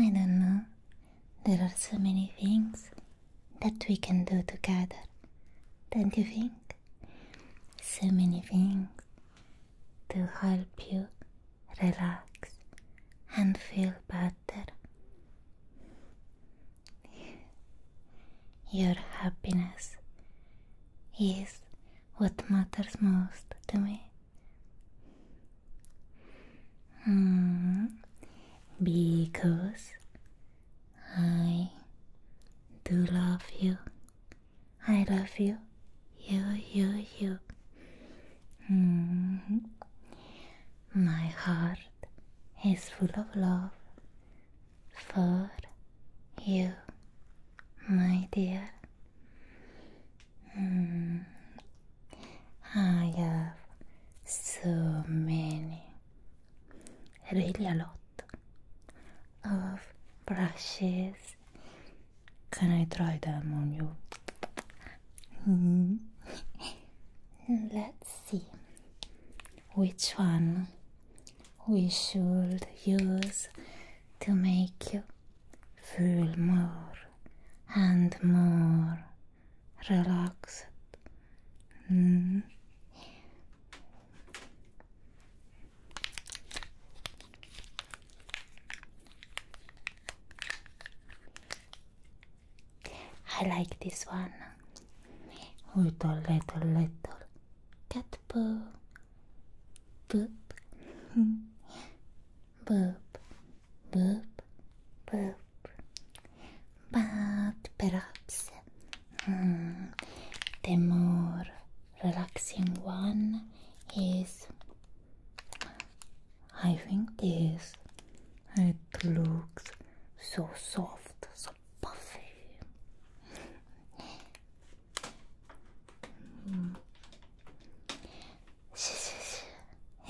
I don't know. There are so many things that we can do together, don't you think? So many things to help you relax and feel better. Your happiness is what matters most to me. Hmm. because I do love you. I love you. You, you, you. Hmm. My heart is full of love for you, my dear. I have so many, really a lot of brushes. Can I try them on you? Mm-hmm. Let's see which one we should use to make you Feel more and more relaxed. Mm. I like this one with a little little cat boop, boop, boop, boop, boop. But perhaps the more relaxing one is, I think, this. It looks so soft, so puffy.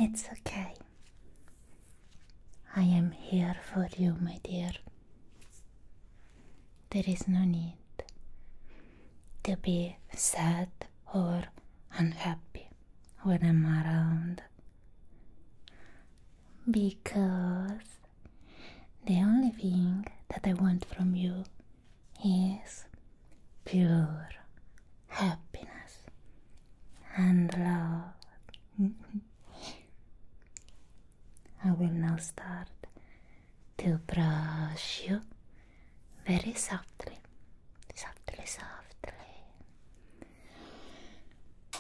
It's okay. I am here for you, my dear. There is no need to be sad or unhappy when I'm around because the only thing that I want from you is pure happiness and love. I will now start to brush you very softly, softly, softly,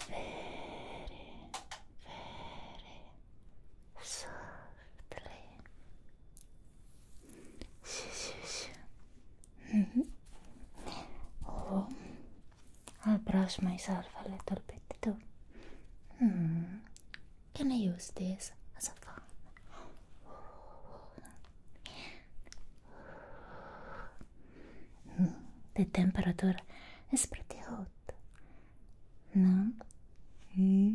very, very softly. 谢谢谢。嗯哼。Oh, mm-hmm. I'll brush myself a little bit too. Hmm. Can I use this as a fan? Hmm. the temperature is pretty hot. No? Hmm.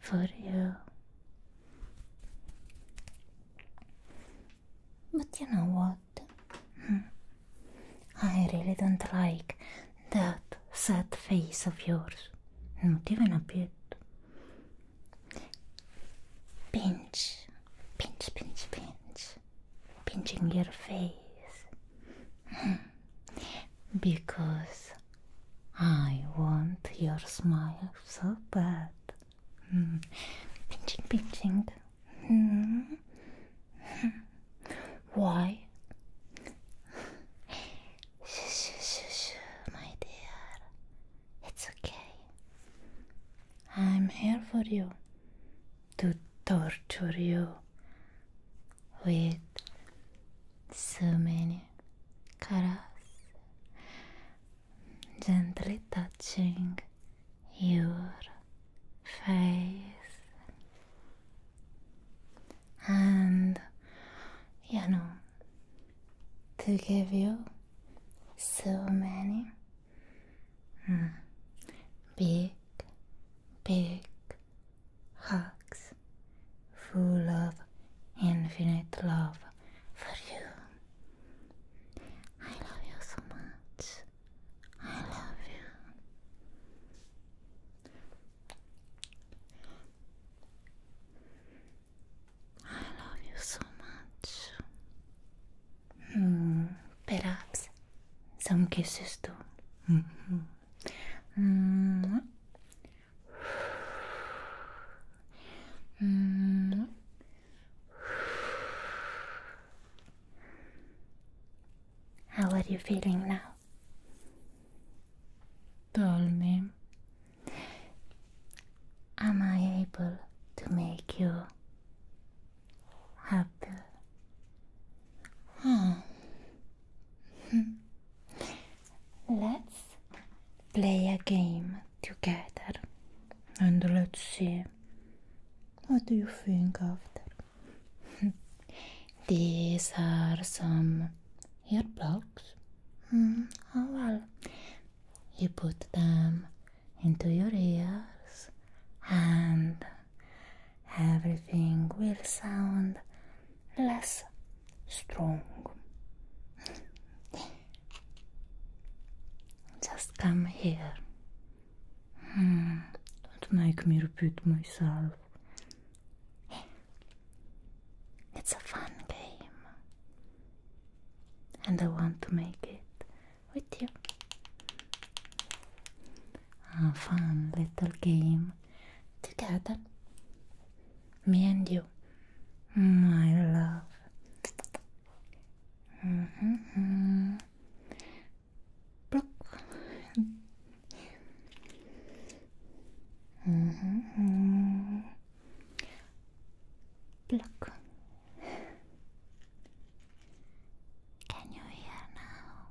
for you. But you know what? Hmm. I really don't like that sad face of yours. Not even a bit. Pinch, pinch, pinch, pinch. Pinching your face. Hmm. because I want your smile so bad. Hmm. Pinching, pinching. Hmm. Why? Shh, shh, my dear. It's okay. I'm here for you to torture you with so many colors gently touching your face and you know to give you so many mm, big big hugs full of infinite love for you. I love you so much. I love you. I love you so much. Mm, perhaps some kisses too. Mm-hmm. Mm -hmm. mm, Mm. How are you feeling now? Tell me. Am I able to make you happy? Oh. Let's play a game together and let's see what do you think after. These are some earplugs. plugs. Hmm, oh, well, you put them into your ears and everything will sound less strong. Just come here. Hmm, don't make me repeat myself. It's a fun game, and I want to make it with you. A ah, fun little game together me and you, my love. Mm -hmm. Mm -hmm. Pluck. Can you hear now?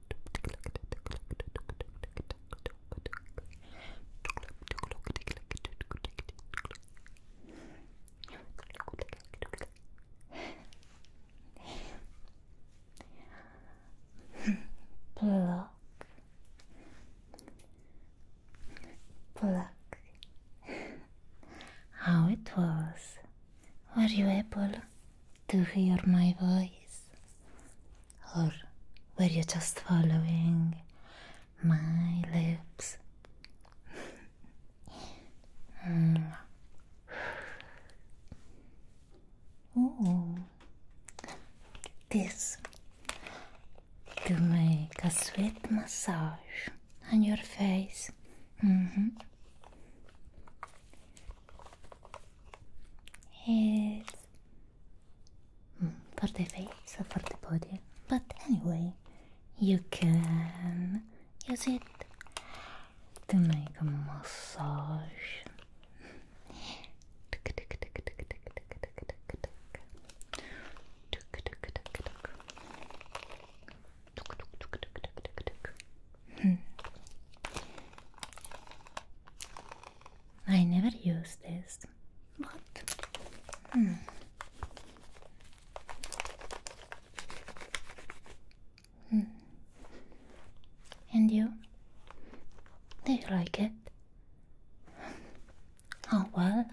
Pluck. Pluck. How it was? Were you able to hear my voice, or were you just following my lips? oh, this to make a sweet massage on your face. Mm-hmm. It's for the face or for the body, but anyway, you can use it to make a massage. Hmm. I never used this. but hmm. hmm. And you? Do you like it? Oh well.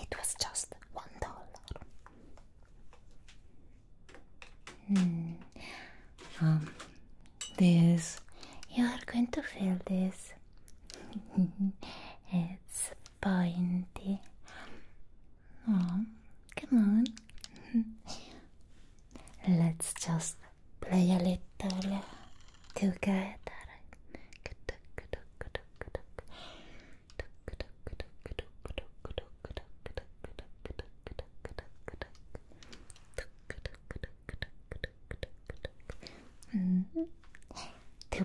It was just one dollar. Hmm. Um, this you are going to feel this. it's pointy. Oh, come on. Let's just play a little together. 음, 두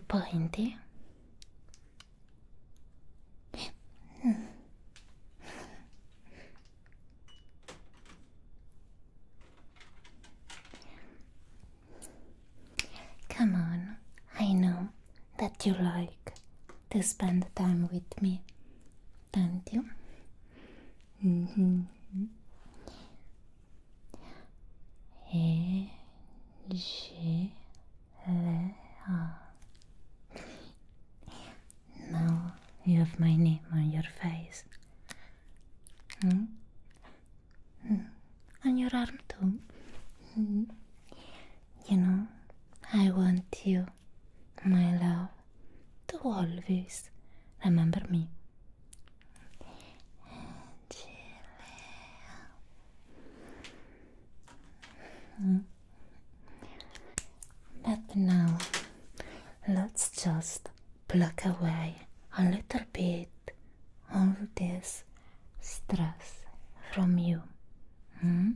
Come on, I know that you like to spend time with me, don't you? Mm -hmm. Now you have my name on your face. Hmm? hmm. On your arm too. Hmm. You know, I want you, my love, to always remember me. But now let's just pluck away a little bit all this stress from you. Hmm?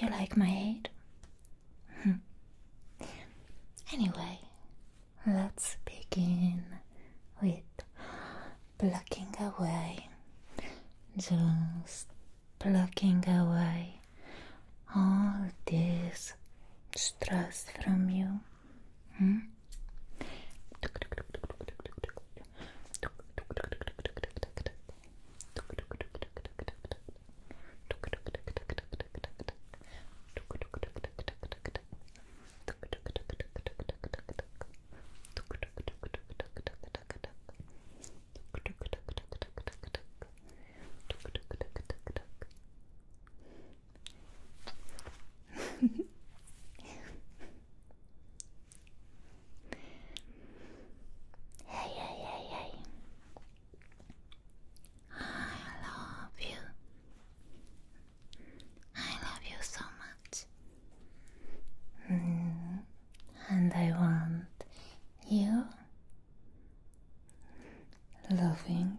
Do you like my head? Hmm. anyway, let's begin with plucking away, just plucking away all this stress from you. Hmm? Tuk hey, hey, hey, hey. I love you. I love you so much. Mm, and I want you loving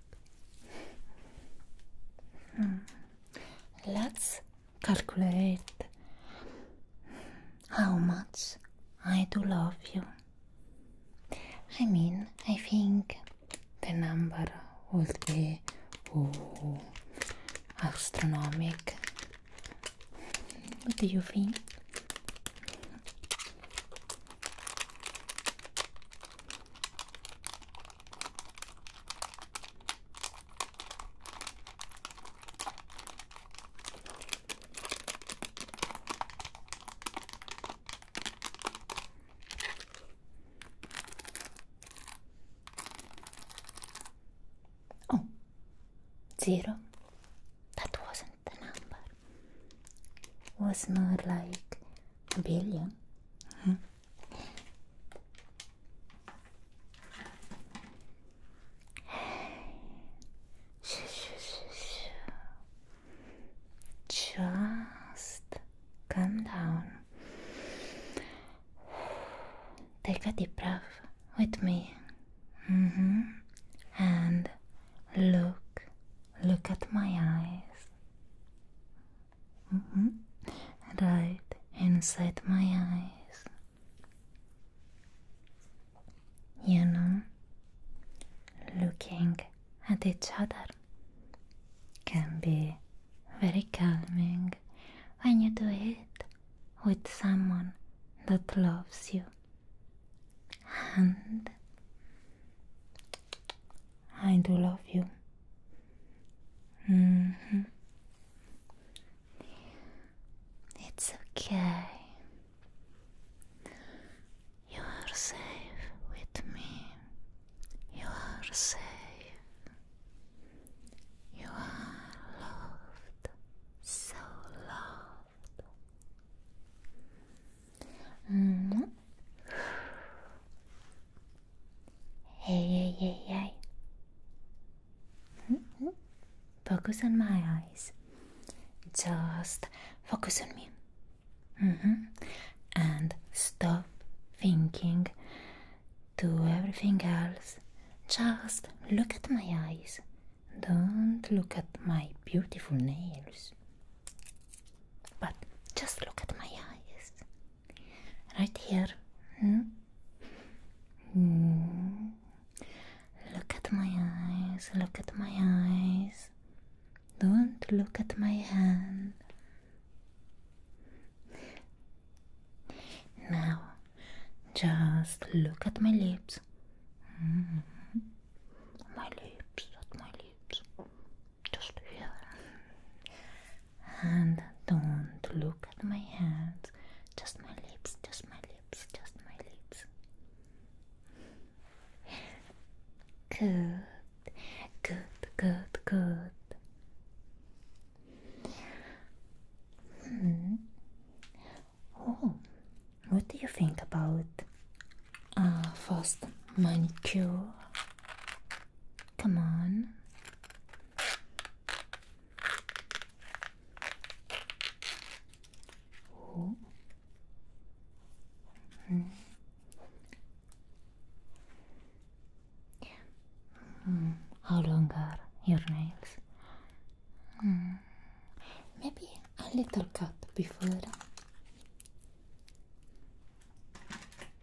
Hmm. Let's calculate how much I do love you. I mean, I think the number would be oh, astronomic. What do you think? Oh, zero. That wasn't the number. Was not like billion. Just come down. Take a deep breath with me. Mm-hmm. And look, look at my eyes. Mm-hmm. Right inside my eyes. You know, looking at each other can be very calming when you do it with someone that loves you. And I do love you. Mm-hmm. It's okay. You are safe with me. You are safe. You are loved. So loved. -hmm. Hey, hey, hey, -hmm. Focus on my eyes. Just focus on me. Mm -hmm. And stop thinking to everything else. Just look at my eyes. Don't look at my beautiful nails. But just look at my eyes. Right here. Hmm? Hmm. Look at my eyes. Look at my eyes. Don't look at my hand. Now, just look at my lips. Hmm. My lips, at my lips just here. And don't look at my hands, just my lips, just my lips, just my lips. Good, good, good, good. Hmm. Oh, what do you think about uh, first, manicure. Come on. Oh. Mm-hmm. Mm-hmm. How long are your nails? Mm-hmm. Maybe a little cut before.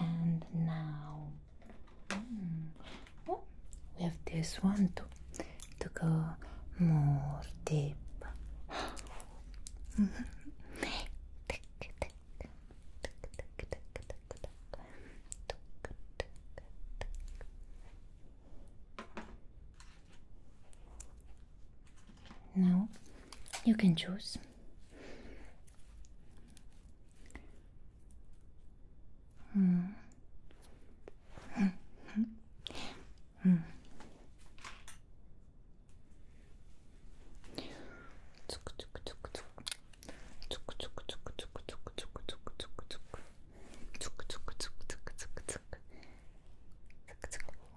and now hmm, oh, we have this one to to go more deep. Now you can choose Mm. mm.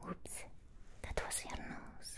Oops, that was your nose.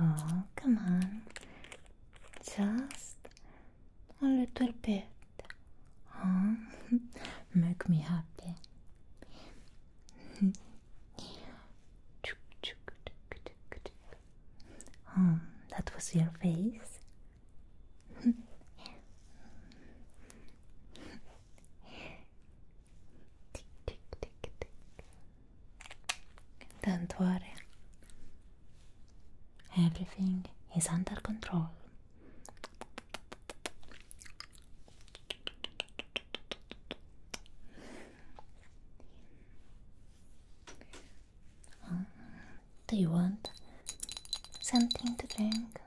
Oh, come on. Just a little bit. Oh, make me happy. Um, that was your face. Don't worry. Everything is under control. do you want something to drink?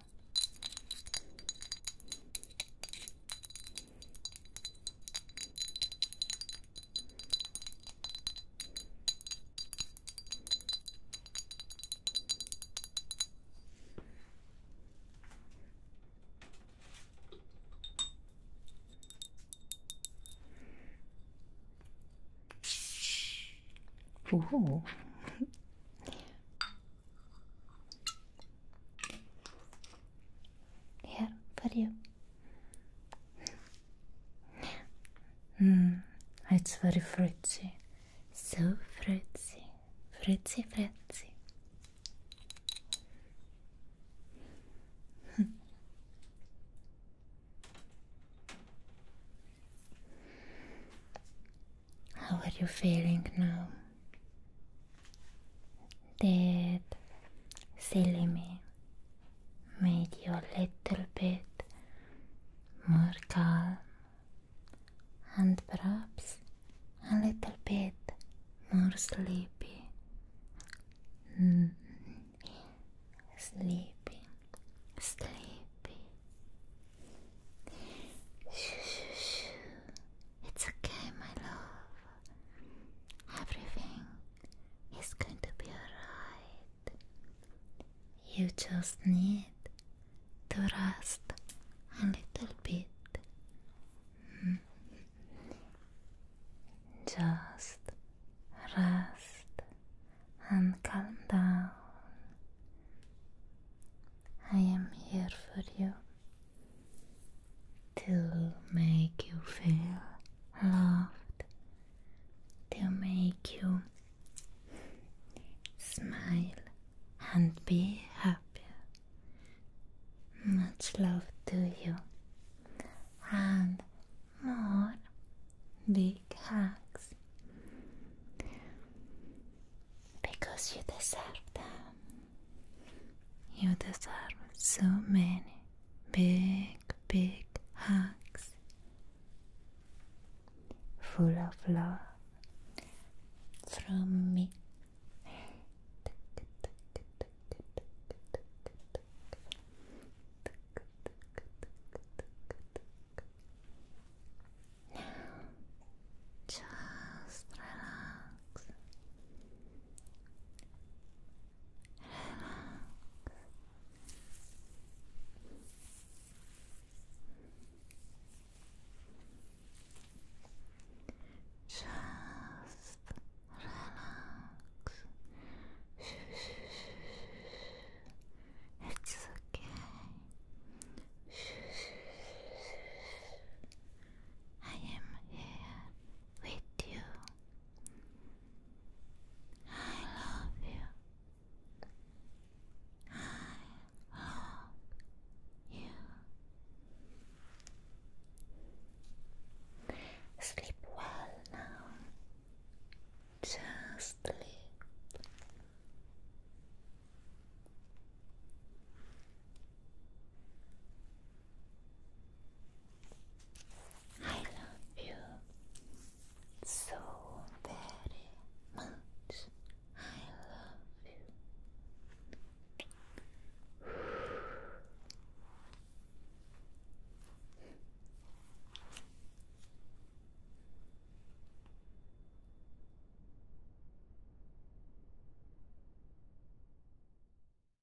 Ooh. Here, for you. Mm, it's very fruity, so fruity, fruity, fruity. How are you feeling now? that silly me made you a little bit more calm and perhaps a little bit more sleepy. Sleeping, mm. Sleepy, sleepy. Shoo, it's okay, my love. Everything is going to be alright. You just need to rest a little bit. Mm-hmm. Just rest and calm down. I am here for you to make you feel loved, to make you smile and be happy. Much love to you and more big hugs because you deserve them. You deserve so many big, big hugs full of love from me. Now, just relax. Just relax. It's okay. I am here with you. I love you. I love you. Sleep well now. Just sleep. I love you so very much. I love you.